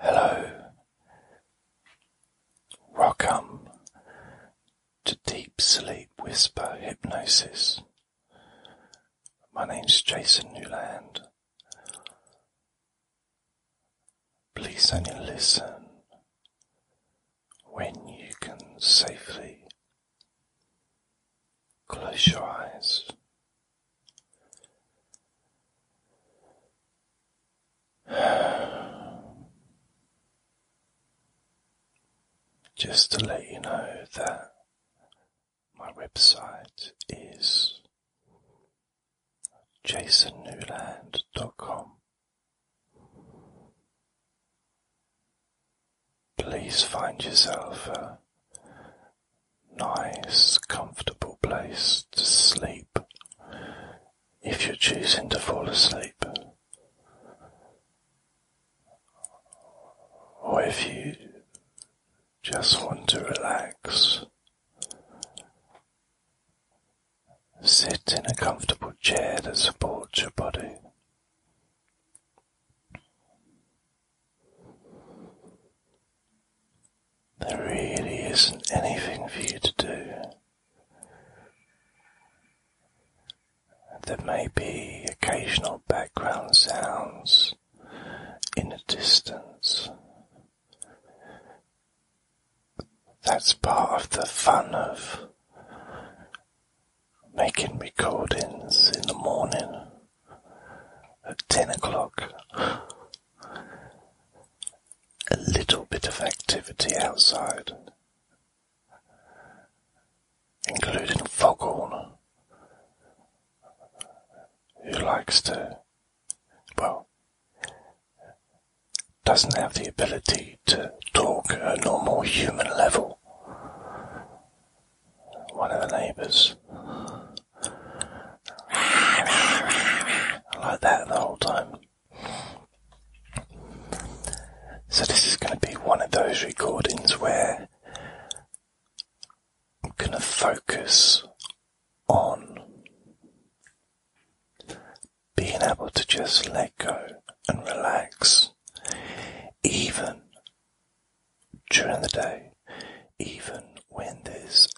Hello. Welcome to Deep Sleep Whisper Hypnosis. My name's Jason Newland. Please only listen when you can safely close your eyes Just to let you know that my website is jasonnewland.com. Please find yourself nice, comfortable place to sleep if you're choosing to fall asleep. Or if you just want to relax, sit in a comfortable chair that supports your body. There really isn't anything for you to do. There may be occasional background sounds in the distance. That's part of the fun of making recordings in the morning at 10 o'clock a little bit of activity outside, including Foghorn, who likes to, well, doesn't have the ability to talk at a normal human level. One of the neighbours. like that the whole time. So this is going to be one of those recordings where I'm going to focus on being able to just let go and relax, even during the day, even when there's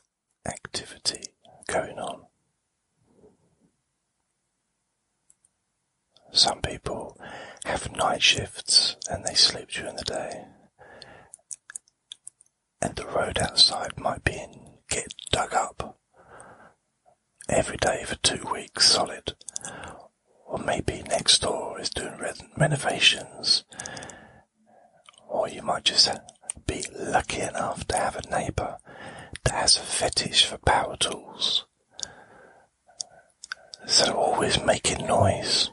activity going on. Some people have night shifts and they sleep during the day, and the road outside might be in, get dug up every day for two weeks solid, or maybe next door is doing renovations or you might just be lucky enough to have a neighbour that has a fetish for power tools. So always making noise.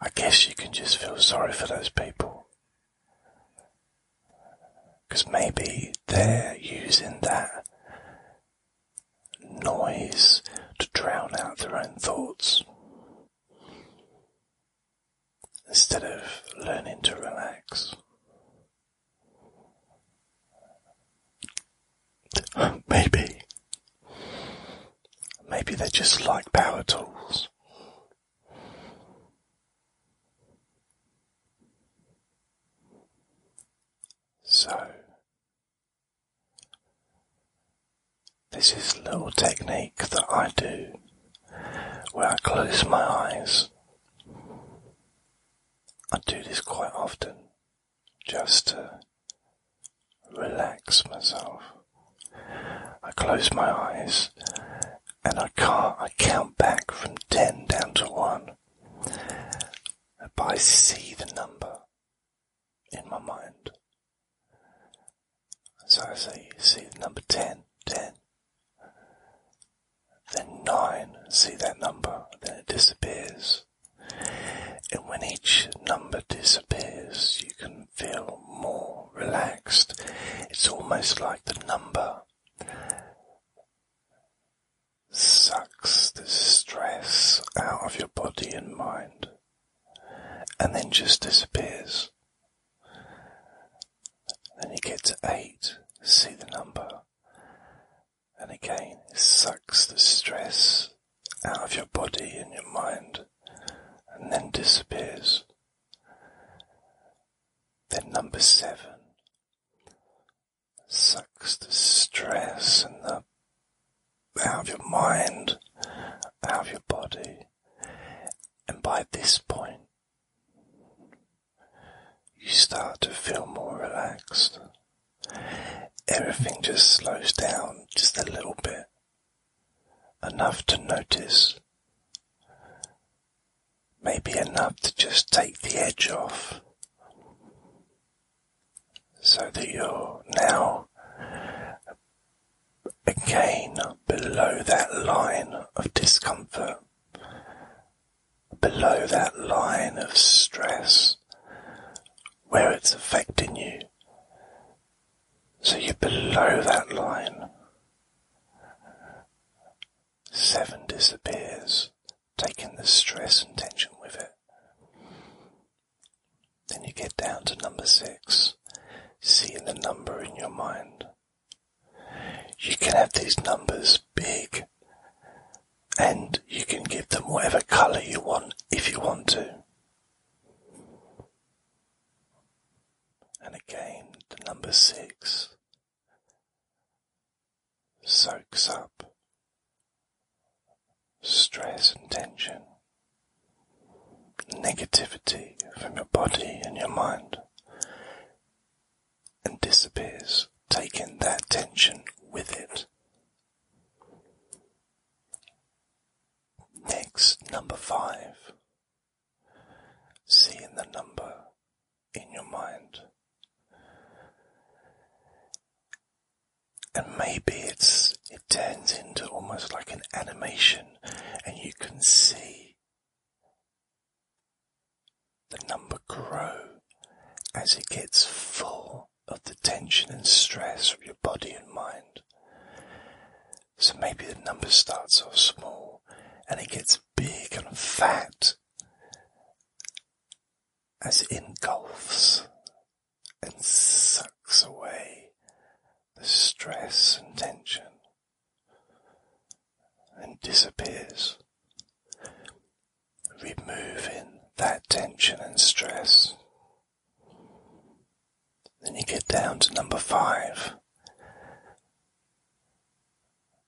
I guess you can just feel sorry for those people. Because maybe they're using that noise to drown out their own thoughts. Instead of learning to relax. Maybe. Maybe they're just like power tools. So, this is a little technique that I do where I close my eyes. I do this quite often just to relax myself. I close my eyes and I can't I count back from ten down to one. But I see the number in my mind. So I say, see the number 10, 10. Then 9, see that number, then it disappears. And when each number disappears, you can feel more relaxed. It's almost like the number sucks the stress out of your body and mind and then just disappears. Then you get to eight, see the number, and again it sucks the stress out of your body and your mind and then disappears. Then number seven sucks the stress and the out of your mind, out of your body. And by this point, you start to feel more relaxed. Everything just slows down just a little bit, enough to notice, maybe enough to just take the edge off so that you're now again below that line of discomfort, below that line of stress where it's affecting you. So you're below that line. Seven disappears, taking the stress and tension with it. Then you get down to number six, seeing the number in your mind. You can have these numbers big and you can give them whatever colour you want if you want to. And again, the number six soaks up stress and tension, negativity from your body and your mind, and disappears, taking that tension with it. Next, number five, See in the number in your mind and maybe it's it turns into almost like an animation and you can see the number grow as it gets full of the tension and stress from your body and mind. So maybe the number starts off small and it gets big and fat as it engulfs and sucks away the stress and tension and disappears, removing that tension and stress. Then you get down to number five.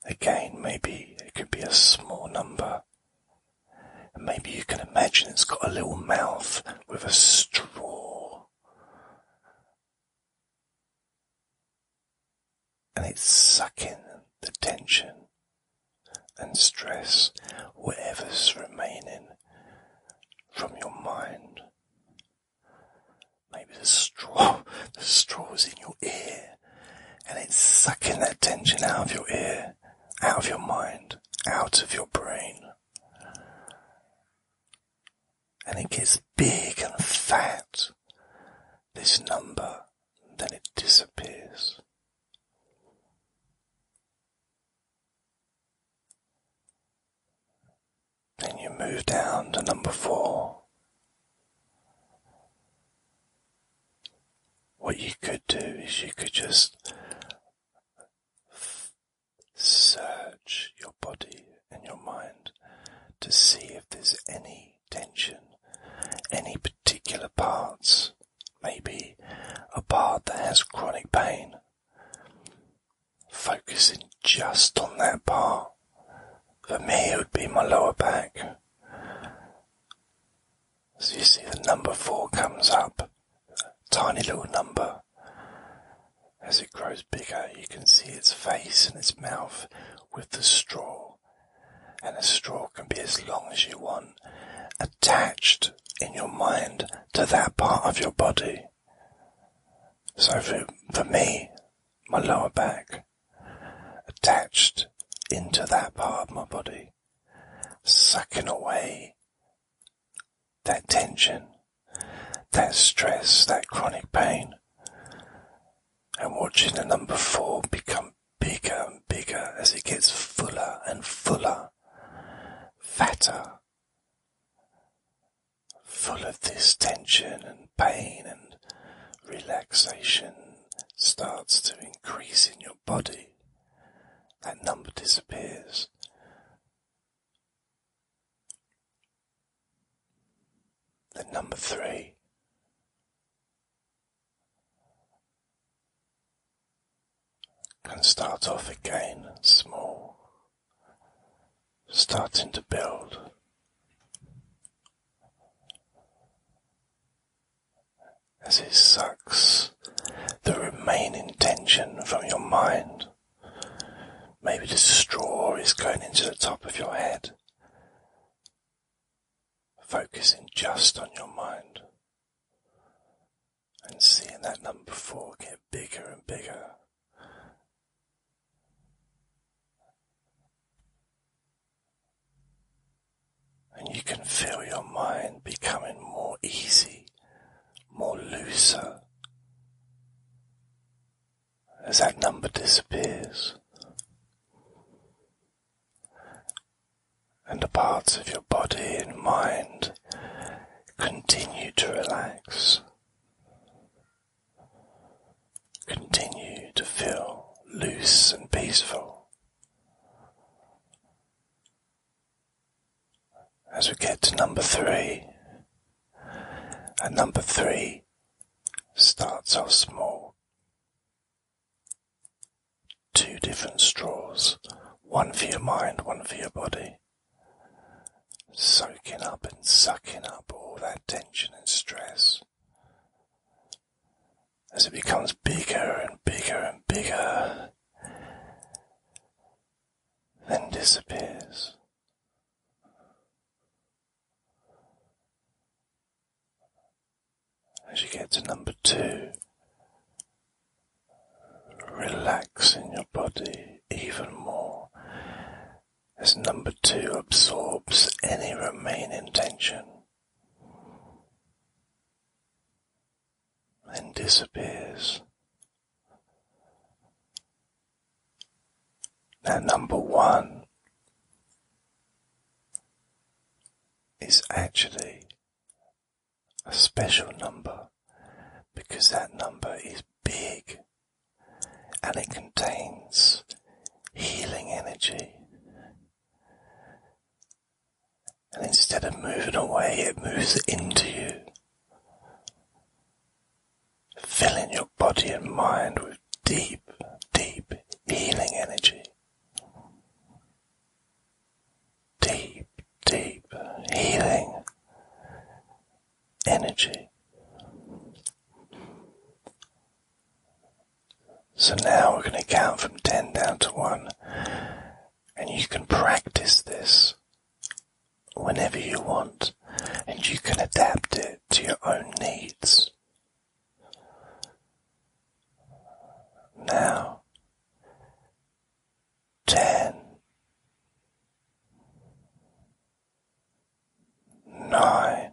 Again, maybe it could be a small number and maybe you can imagine it's got a little mouth with a straw. And it's sucking the tension and stress, whatever's remaining from your mind. Maybe the straw, the straw is in your ear and it's sucking that tension out of your ear out of your mind, out of your brain. And it gets big and fat, this number, then it disappears. Then you move down to number four. What you could do is you could just search your body and your mind to see if there's any tension, any particular parts, maybe a part that has chronic pain. Focusing just on that part. For me, it would be my lower back. So you see the number four comes up, tiny little number. As it grows bigger, you can see its face and its mouth with the straw. And the straw can be as long as you want, attached in your mind to that part of your body. So for, for me, my lower back, attached into that part of my body, sucking away that tension, that stress, that chronic pain, and watching the number four become bigger and bigger as it gets fuller and fuller, fatter, full of this tension and pain and relaxation starts to increase in your body, that number disappears. The number three, can start off again small, starting to build as it sucks the remaining tension from your mind. Maybe the straw is going into the top of your head, focusing just on your mind and seeing that number four get bigger and bigger and you can feel your mind becoming more easy, more looser. As that number disappears, and the parts of your body and mind continue to relax, continue to feel loose and peaceful as we get to number three. And number three starts off small. Two different straws, one for your mind, one for your body. Soaking up and sucking up all that tension and stress. As it becomes bigger and bigger and bigger, then disappears. As you get to number two, relax in your body even more as number two absorbs any remaining tension. And disappears. Now, number one is actually a special number because that number is big and it contains healing energy and instead of moving away, it moves into you, filling your body and mind with deep, deep healing energy. Deep, deep healing energy. So now we're going to count from 10 down to 1 and you can practice this whenever you want and you can adapt it to your own needs. Now, ten, nine,